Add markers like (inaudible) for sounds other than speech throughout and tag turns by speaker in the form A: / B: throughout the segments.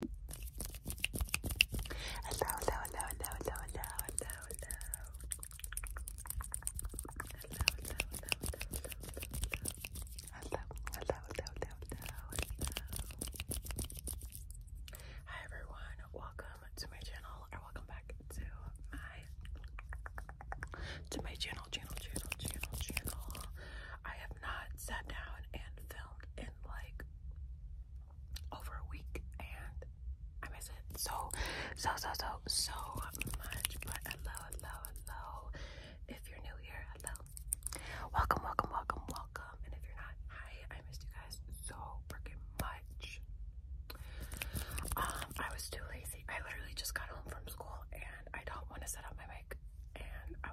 A: hello, hello, Hi everyone, welcome to my channel, or welcome back to my to my channel, channel, channel, channel, channel. I have not sat down and filmed in like over a week and I miss it so so so so so much but hello hello hello if you're new here hello welcome welcome welcome welcome and if you're not hi I missed you guys so freaking much um I was too lazy I literally just got home from school and I don't want to set up my mic and I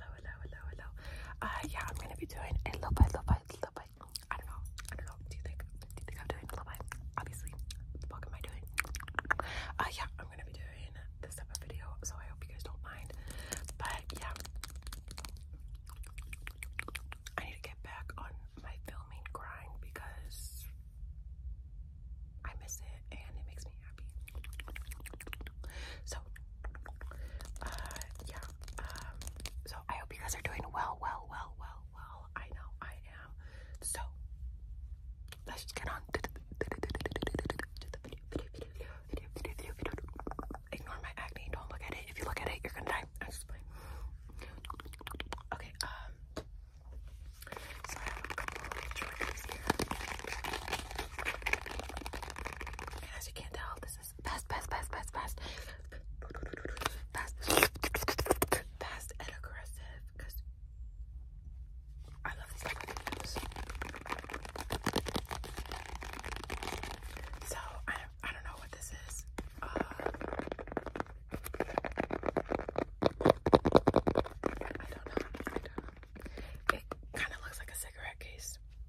A: hello, hello, hello, hello. Uh, yeah, I'm gonna be doing a little bit, little bite, little bite. I don't know. I don't know. Do you think? Do you think I'm doing a little bit? Obviously. What am I doing? Uh, yeah, I'm gonna be doing this type of video, so I hope you guys don't mind. But yeah, I need to get back on my filming grind because I miss it and it makes me happy. So, uh, yeah. Um, so I hope you guys are doing well, well, well, well, well. I know I am. So, let's just get on to the video, video, video, video, video, video, video. Ignore my acne. Don't look at it. If you look at it, you're gonna die. Okay. Um. as you can tell, this passes. Pass, pass, pass, pass, pass. Pass. Fast and aggressive. Cause I love these type of videos. So I I don't know what this is. Uh, I don't know. I don't know. It kind of looks like a cigarette case.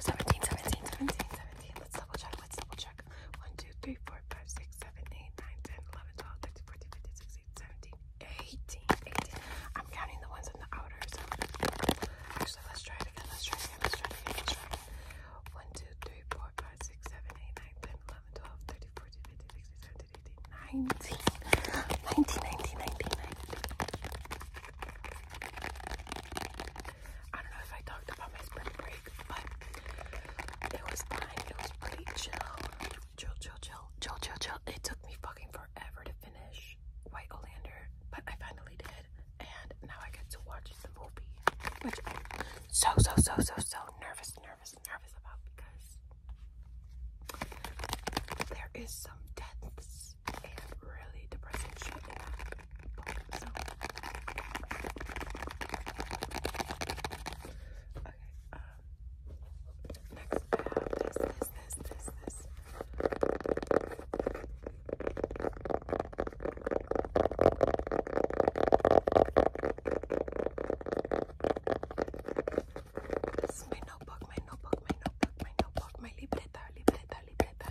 A: 17, 17, 17, 17. Let's double check. Let's double check. 1, 2, 3, 4, 5, 6, 7, 8, 9, 10, 11, 12, 13, 14, 15, 16, 17, 18, 18. I'm counting the ones in the outer. So actually, let's try it again. Let's try it again. Let's try it again. Let's try it again. 1, 2, 3, 4, 5, 6, 7, 8, 9, 10, 11, 12, 13, 14, 15, 16, 17, 18, 19. 19, 19, 19, 19. I don't know if I talked about my spring break, but it was fine. It was pretty chill. Chill, chill, chill. Chill, chill, It took me fucking forever to finish White Olander, but I finally did. And now I get to watch the movie, which I'm so, so, so, so, so nervous, nervous, nervous about because there is some deaths and really depressing shit in that this, This is my notebook, my notebook, my notebook, my notebook, my libreta, libreta, libreta.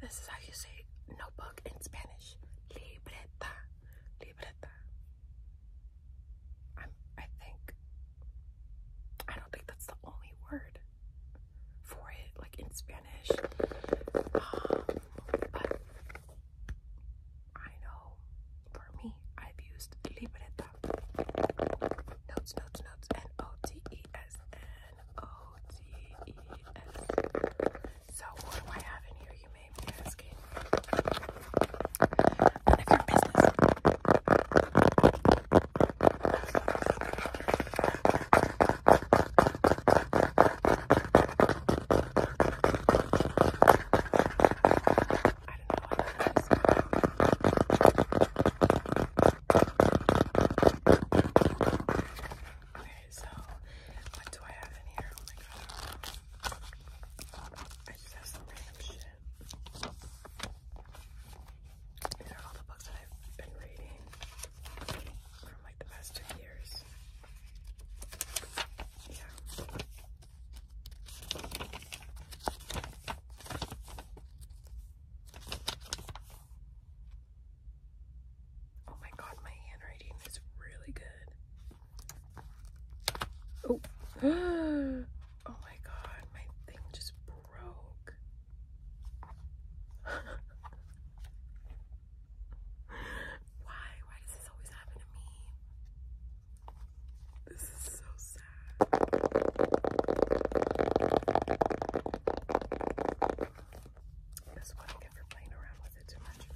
A: This is how you say notebook in Spanish. Libreta. Libreta. I'm, I think, I don't think that's the only word for it, like in Spanish. Um, but I know for me, I've used libreta. Notes, notes, notes, N O T E S N O-D-E-S. So what do I have in here, you may be asking? I don't know what that is. Okay, so what do I have in here? Oh my god. I just have some random shit. These are all the books that I've been reading from like the past two years. Yeah. Oh my god, my handwriting is really good. Oh. (gasps) oh my god, my thing just broke. (laughs) Why? Why does this always happen to me? This is so sad. That's what I get for playing around with it too much.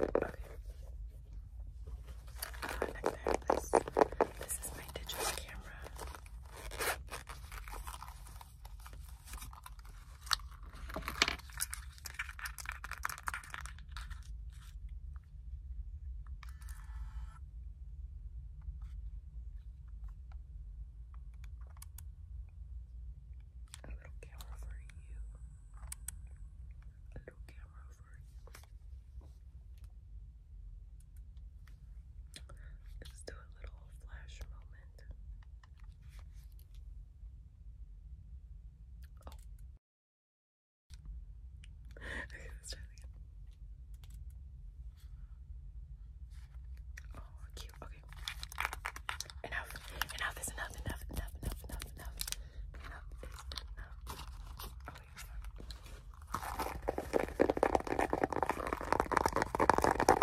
A: Okay. I this. This is my digital camera. A little camera for you. A little camera for you. Let's do a little flash moment. Oh. (laughs) Okay, let's try again. Oh, cute. Okay. Enough. Enough is enough. Enough. Enough. Enough. Enough. Enough. Enough is enough. Oh, wait, hold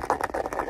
A: on.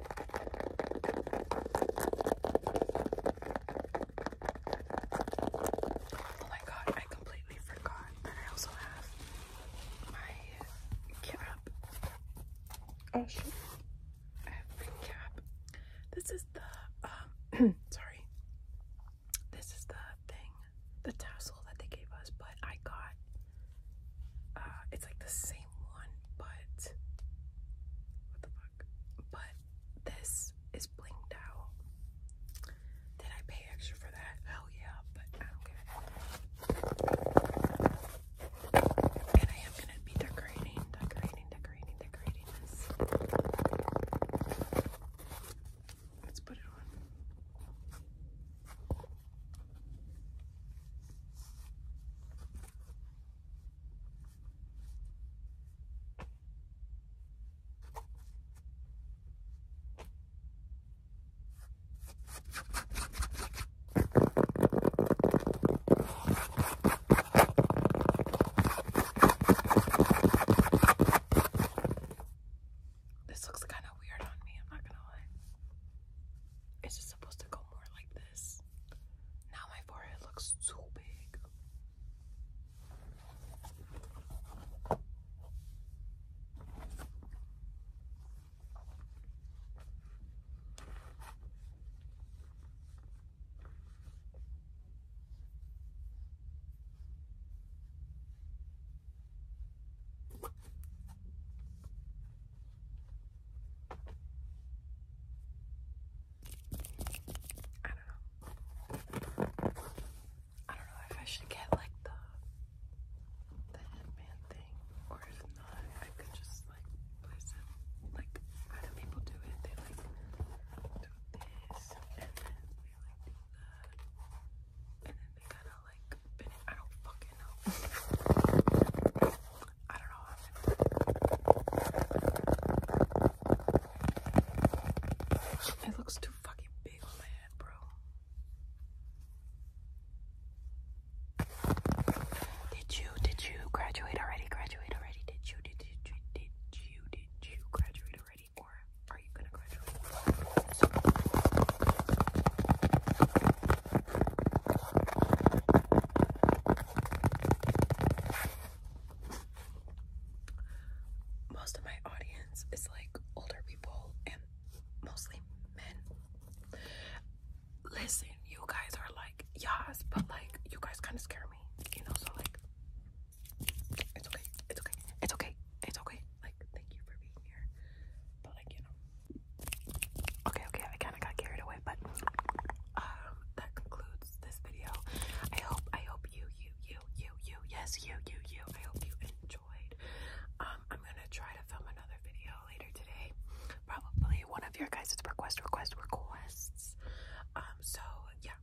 A: Oh my god, I completely forgot that I also have my cap. Oh shit. I have my cap. This is the um (clears throat) sorry. This is the thing, the tassel that they gave us, but I got uh, it's like the same one, but what the fuck? But this is blinged out. Did I pay extra for that? Hell yeah, but I don't give And I am gonna be decorating, decorating, decorating, decorating this. Let's put it on. This looks kind of weird on me, I'm not gonna lie. It's just supposed to go more like this. Now my forehead looks too big. I don't know. I don't know if I should get like the the headband thing or if not I could just like place it like how do people do it? They like do this and then they like do that and then they kinda like I don't fucking know. I don't know. It looks too fucking big on my head, bro. Did you did you graduate already? Graduate already? Did you did you did you did you, did you graduate already, or are you gonna graduate? Most of my audience is like older people and mostly men. Listen, you guys are like, yes, but like, you guys kind of scare me, you know? So, like, it's okay, it's okay, it's okay, it's okay. Like, thank you for being here, but like, you know. Okay, okay, I kind of got carried away, but um, that concludes this video. I hope, I hope you, you, you, you, you, yes, you, you, you. I hope you enjoyed. Um, I'm gonna try to film another video later today. Probably one of your guys' request, request, requests. Um, so yeah.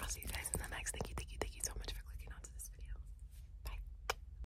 A: I'll see you guys in the next. Thank you, thank you, thank you so much for clicking onto this video. Bye.